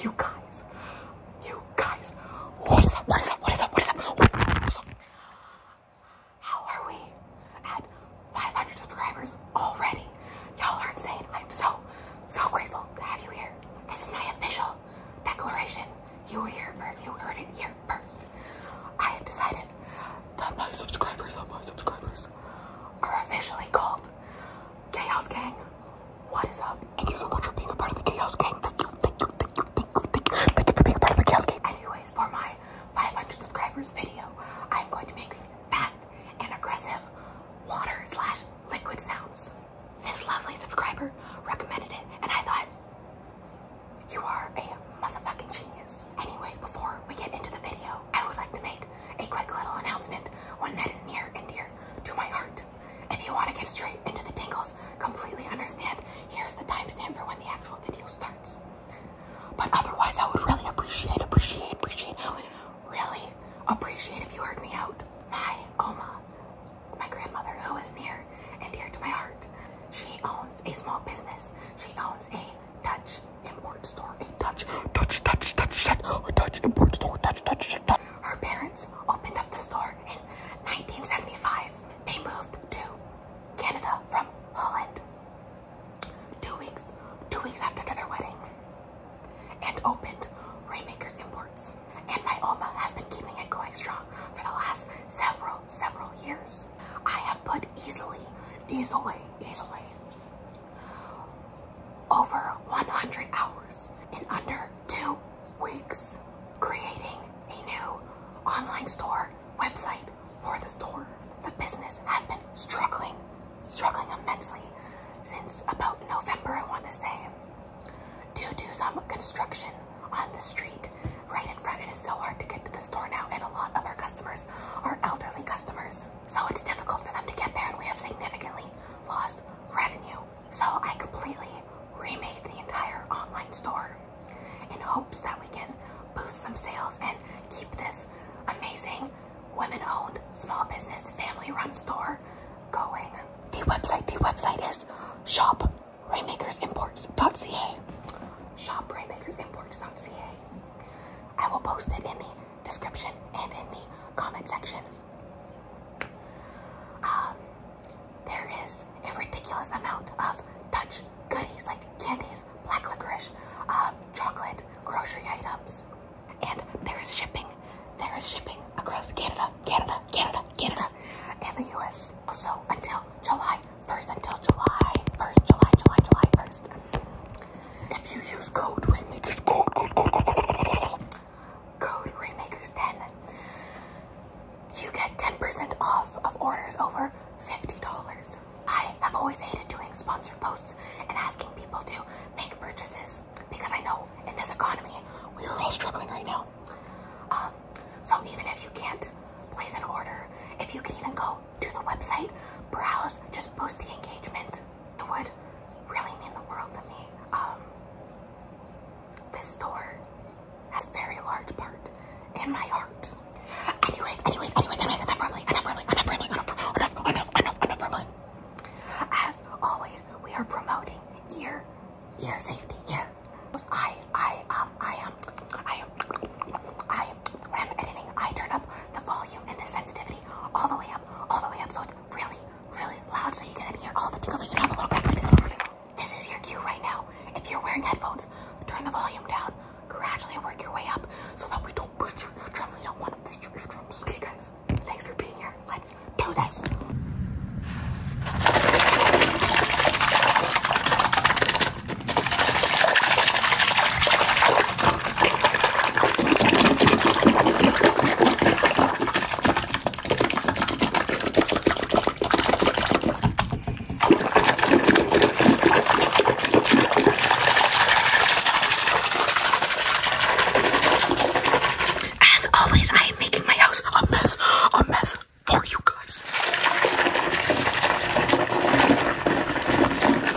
You guys, you guys, what is up? What is up? What is up? What is up? What is up? How are we at 500 subscribers already? Y'all are insane. I'm so, so grateful to have you here. This is my official declaration. You were here first. You heard it here first. I have decided that my subscribers, that my subscribers are officially called Chaos Gang, what is up? Thank you so much for being a part of the Chaos Gang. Thank you, thank you, thank you, thank you, thank you, thank you for being a part of the Chaos Gang. Anyways, for my 500 subscribers video, I'm going to make fast and aggressive water slash liquid sounds. This lovely subscriber recommended it, and I thought, you are a motherfucking genius. Anyways, before we get into the video, I would like to make a quick little announcement, one that is near and dear to my heart. If you want to get straight into the tingles, completely understand, here's the timestamp for when the actual video starts. But otherwise, I would really appreciate, appreciate, appreciate, really appreciate if you heard me out. My Oma, my grandmother, who is near and dear to my heart, she owns a small business. She owns a Dutch import store, a touch, touch, touch, touch, shut, or touch, import store, touch, touch, shut, touch. Her parents opened up the store in 1975. They moved to Canada from Holland. Two weeks, two weeks after their wedding, and opened Raymakers Imports. And my Oma has been keeping it going strong for the last several, several years. I have put easily, easily, easily over 100 hours in under two weeks, creating a new online store website for the store. The business has been struggling, struggling immensely since about November, I want to say, due to some construction on the street right in front. It is so hard to get to the store now, and a lot of our customers are elderly customers. So it's difficult for them to get there, and we have significantly lost revenue. So I completely remade the entire online store in hopes that we can boost some sales and keep this amazing women owned small business family run store going. The website, the website is shop raymakersimports.ca. Shop raymakersimports.ca. I will post it in the description and in the comment section. Um, there is a ridiculous amount of Dutch goodies like candies, black licorice, um, chocolate, grocery items. And there is shipping. There is shipping across Canada, Canada, Canada, Canada, and the US. Also, until July 1st, until July 1st, July, July, July 1st. If you use code Rainmakers, code, Rainmakers 10, you get 10% off of orders over $50. I have always hated doing sponsored posts and asking people to make purchases because I know in this economy, we are all struggling right now. Um, so even if you can't place an order, if you can even go to the website, browse, just boost the engagement it would really mean the world to me. Um, this store has a very large part in my heart. Anyways, anyways, anyways, anyways, enough rambling, enough rambling, enough rambling, enough, enough, enough, enough, enough rambling. As always, we are promoting ear, ear safety, ear. I, I, um, I am, I am, I am, when I'm editing, I turn up the volume and the sensitivity all the way up, all the way up, so it's really, really loud so you can hear all the tingles. Like you have a little crack. This is your cue right now. If you're wearing headphones, turn the volume down. Gradually work your way up so that we don't boost your drums. We don't want to burst your drums. Okay, guys, thanks for being here. Let's do this. As always, I am making my house a mess, a mess for you guys.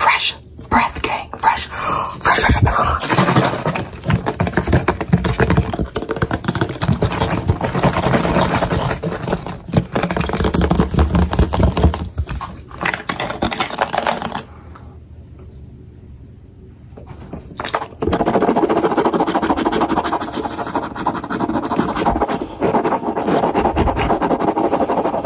Fresh breath, gang. Fresh, fresh, fresh.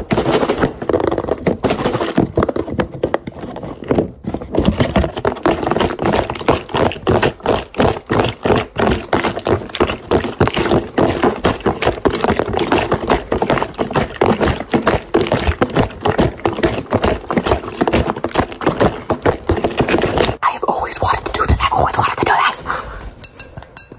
I have always wanted to do this. I've always wanted to do this.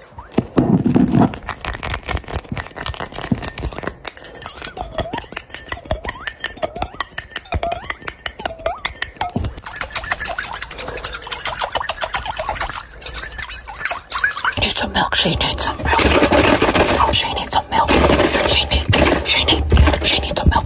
needs some milk. She needs some milk. Oh, she needs some milk. She needs. She needs. She needs some milk.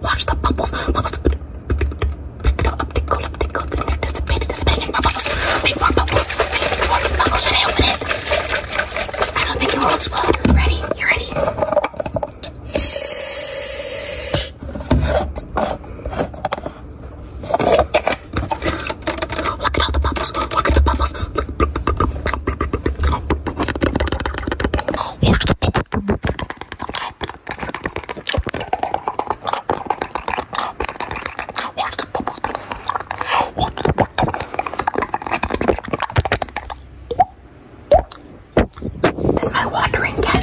watch the bubbles, bubbles, pick it up, tickle, up, tickle, the anticipated is spinning my bubbles, make more bubbles, make more bubbles, should I open it? I don't think it will explode, ready, you ready? Look at all the bubbles, look at the bubbles, look, watch the bubbles, Watch the bubbles. Watch the bubbles. This is my watering can.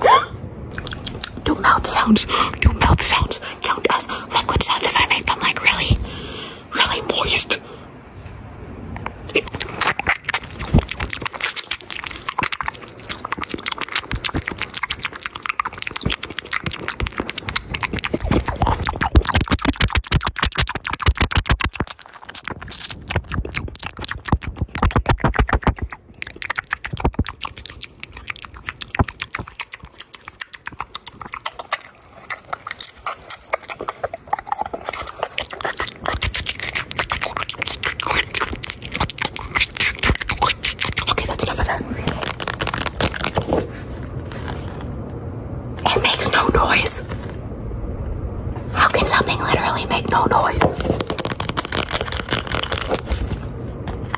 Do mouth sounds. Do mouth sounds count as liquid sounds if I make them like really, really moist? Okay, that's enough of that. It makes no noise. How can something literally make no noise?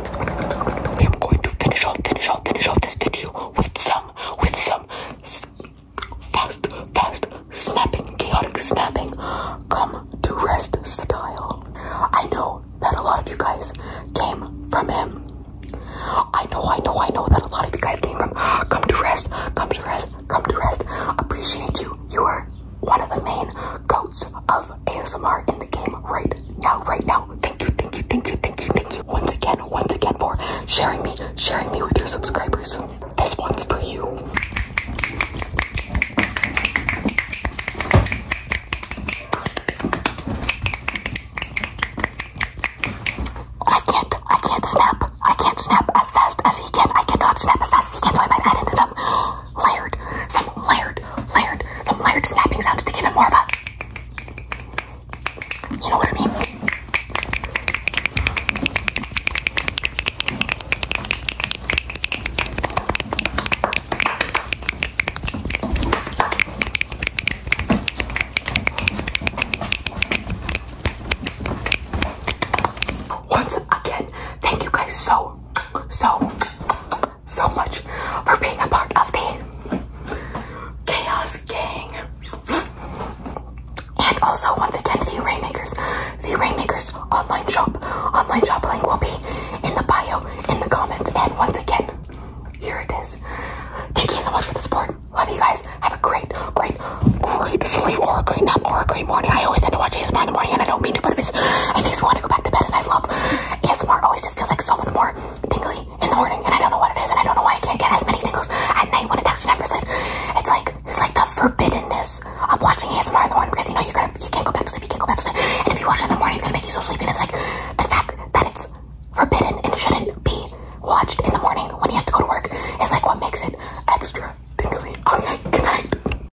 I am going to finish off, finish off, finish off this video with some, with some fast, fast snapping, chaotic snapping, come to rest style. I know that a lot of you guys came from him. I know, I know, I know that a lot of you guys came from come to rest, come to rest, come to rest. Appreciate you. You are one of the main goats of ASMR in the game right now, right now. Thank you, thank you, thank you, thank you, thank you. Once again, once again for sharing me, sharing me with your subscribers. This one's for you. I can't, I can't snap. I can't snap as fast as he can. I cannot snap as fast as he can, so I might add in some layered, some layered, layered, some layered snapping sounds to give it more of a, you know what I mean? Once again, thank you guys so so, so much for being a part of the Chaos Gang. And also, once again, the Rainmakers, the Rainmakers online shop, online shop link will be in the bio, in the comments, and once again, here it is. Thank you so much for the support. Love you guys. Have a great, great, great sleep or a great nap or a great morning. I always end up watching ASMR in the morning and I don't mean to, but I just, I just want to go back to bed bed and I love ASMR always just feels like so much more tingly in the morning and I don't know what it is and I don't know why I can't get as many tingles at night when it's actually nine percent. It's like it's like the forbiddenness of watching ASMR in the morning because you know you gotta you can't go back to sleep, you can't go back to sleep. And if you watch it in the morning it's gonna make you so sleepy. And it's like the fact that it's forbidden and shouldn't be watched in the morning when you have to go to work is like what makes it extra tingly. Okay, good night.